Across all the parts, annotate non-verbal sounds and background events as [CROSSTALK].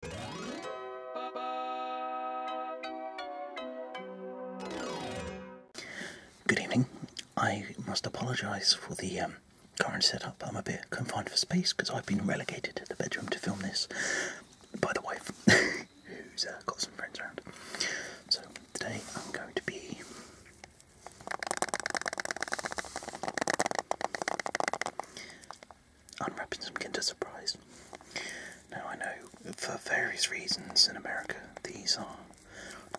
Good evening. I must apologise for the um, current setup. I'm a bit confined for space because I've been relegated to the bedroom to film this by the way, [LAUGHS] who's uh, got some friends around. So today I'm going to be unwrapping some Kinder Surprise. Now, I know for various reasons in America these are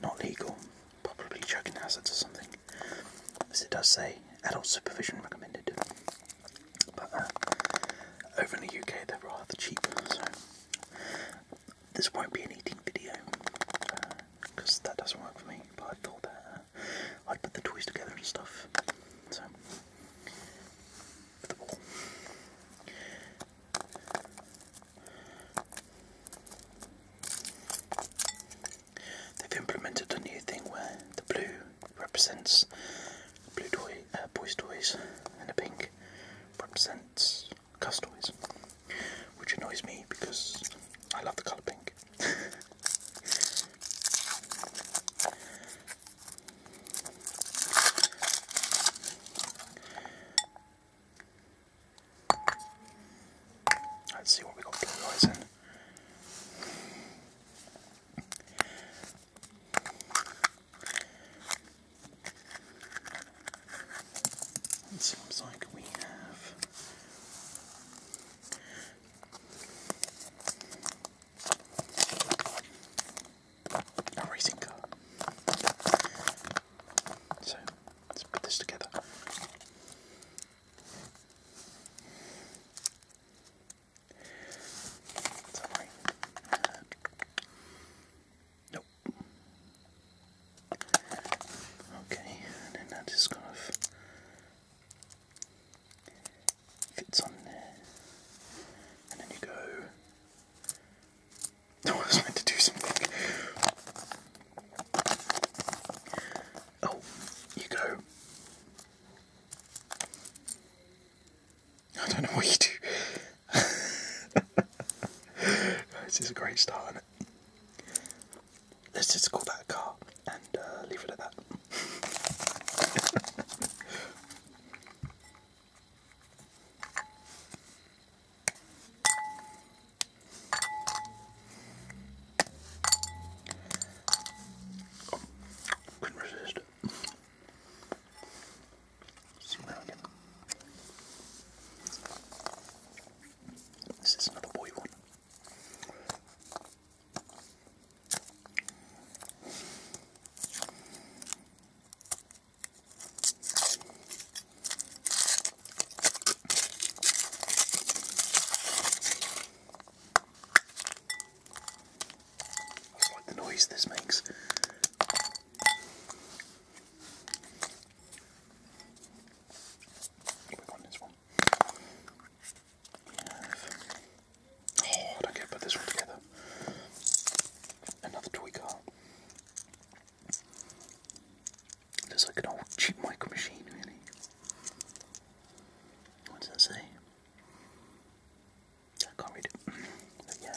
not legal, probably choking hazards or something, as it does say adult supervision recommended. But uh, over in the UK they're rather cheap, so this won't be an eating video because uh, that doesn't work for me. But I thought that uh, I'd put the toys together and stuff. So. They've implemented a new thing where the blue represents blue toy, uh, boys' toys, and the pink represents girls' toys, which annoys me because I love the colour pink. [LAUGHS] Let's see what we got blue eyes in. It seems like we have a racing car. So let's put this together. Sorry. Nope. Okay, and then that is kind fits on there. And then you go. No, [LAUGHS] oh, I was meant to do something. Oh, you go. I don't know what you do. [LAUGHS] this is a great start, Let's just call that a car and uh, leave it at that. [LAUGHS] couldn't resist. Zoom out This is another boy one like the noise this makes. Click on this one. Oh, I don't get put this one together. Another toy car. Looks like an old cheap micro machine, really. What does that say? I can't read it. [CLEARS THROAT] yeah.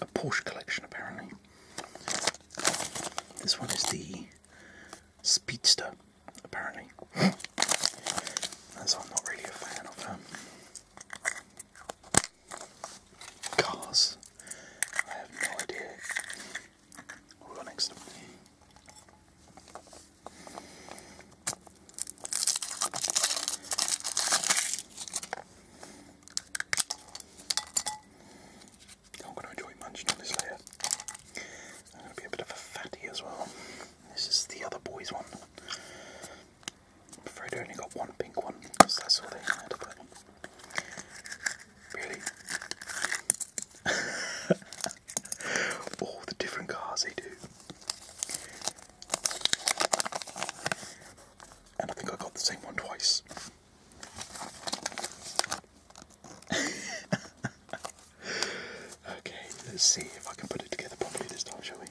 a Porsche collection, apparently. This one is the Speedster, apparently. As I'm not really a fan of um, cars. I have no idea. What next? I'm going to enjoy munching on this layer. I'm going to be a bit of a fatty as well. This is the other boys' one. I'm afraid I only got one pink one because that's all they had. But really, [LAUGHS] all the different cars they do. And I think I got the same one twice okay, let's see if I can put it together properly this time, shall we?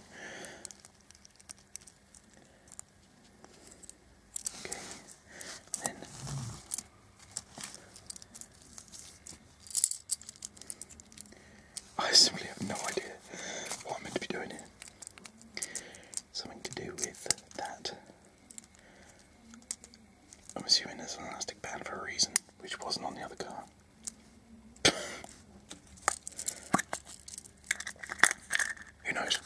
Okay, I simply have no idea what I'm meant to be doing here. Something to do with that. I'm assuming there's an elastic band for a reason, which wasn't on the other car. Who knows?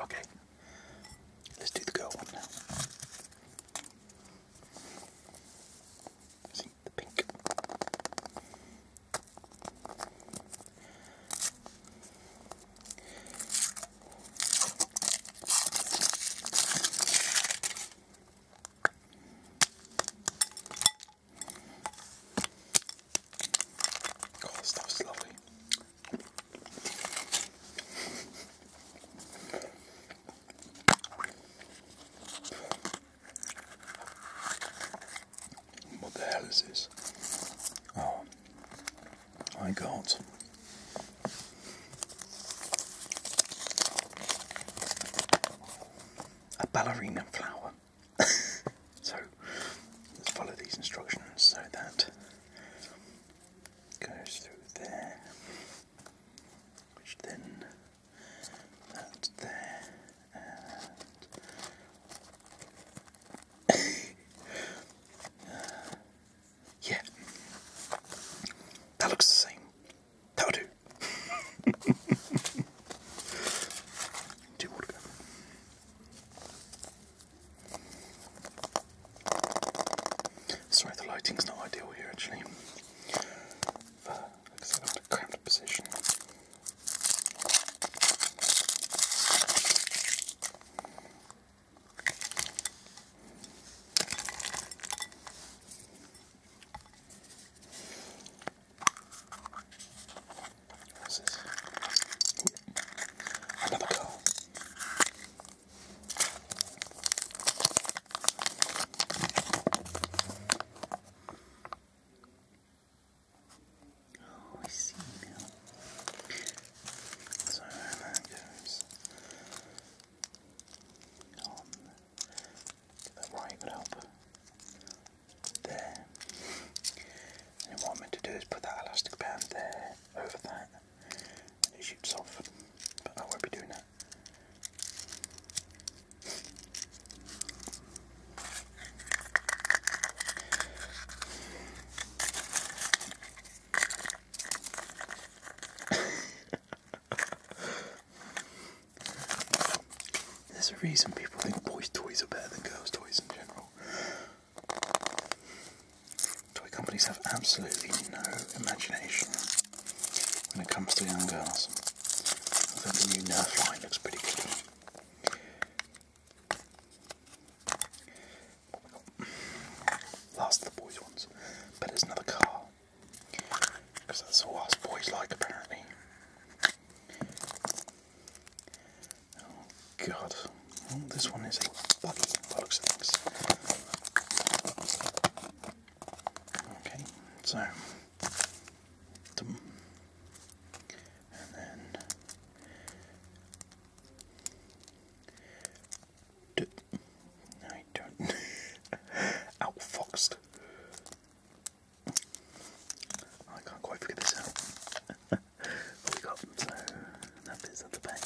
Okay, let's do the girl one now. See the pink. Oh, this stuff's lovely. What the hell is this? Oh, my God! a ballerina flower. [LAUGHS] so follow these instructions so that goes through there, which then that's there and [COUGHS] uh, yeah. That looks the same. That'll do. [LAUGHS] Sorry, the lighting's not ideal here actually. I'm in a cramped position. What's this? Another car. Oh, I see now. So that goes on the right would There. And what I'm meant to do is put that elastic band there over that. And it shoots off. But I won't be doing that. [COUGHS] There's a reason people think boys' toys are better than girls' toys in general. Toy companies have absolutely no imagination when it comes to young girls. I think the new Nerf line looks pretty good. Last of the boys' ones. But it's another car. Because that's all us boys like, apparently. Oh, God. Oh, this one is a buggy, by of things. Okay, so. And then. I don't [LAUGHS] outfoxed. I can't quite figure this out. [LAUGHS] we got? So that bit's at the back.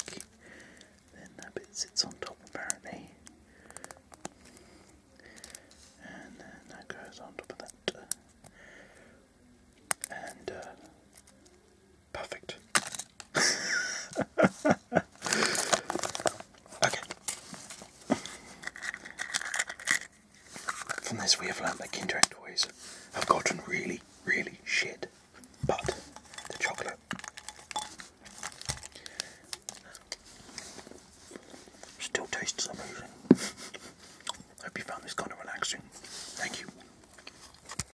Then that bit sits on top apparently. And then that goes on top of that. And uh, Perfect. okay. From this, we have learned that Kinder toys have gotten really, really shit. But the chocolate. Still tastes amazing. Hope you found this kind of relaxing. Thank you.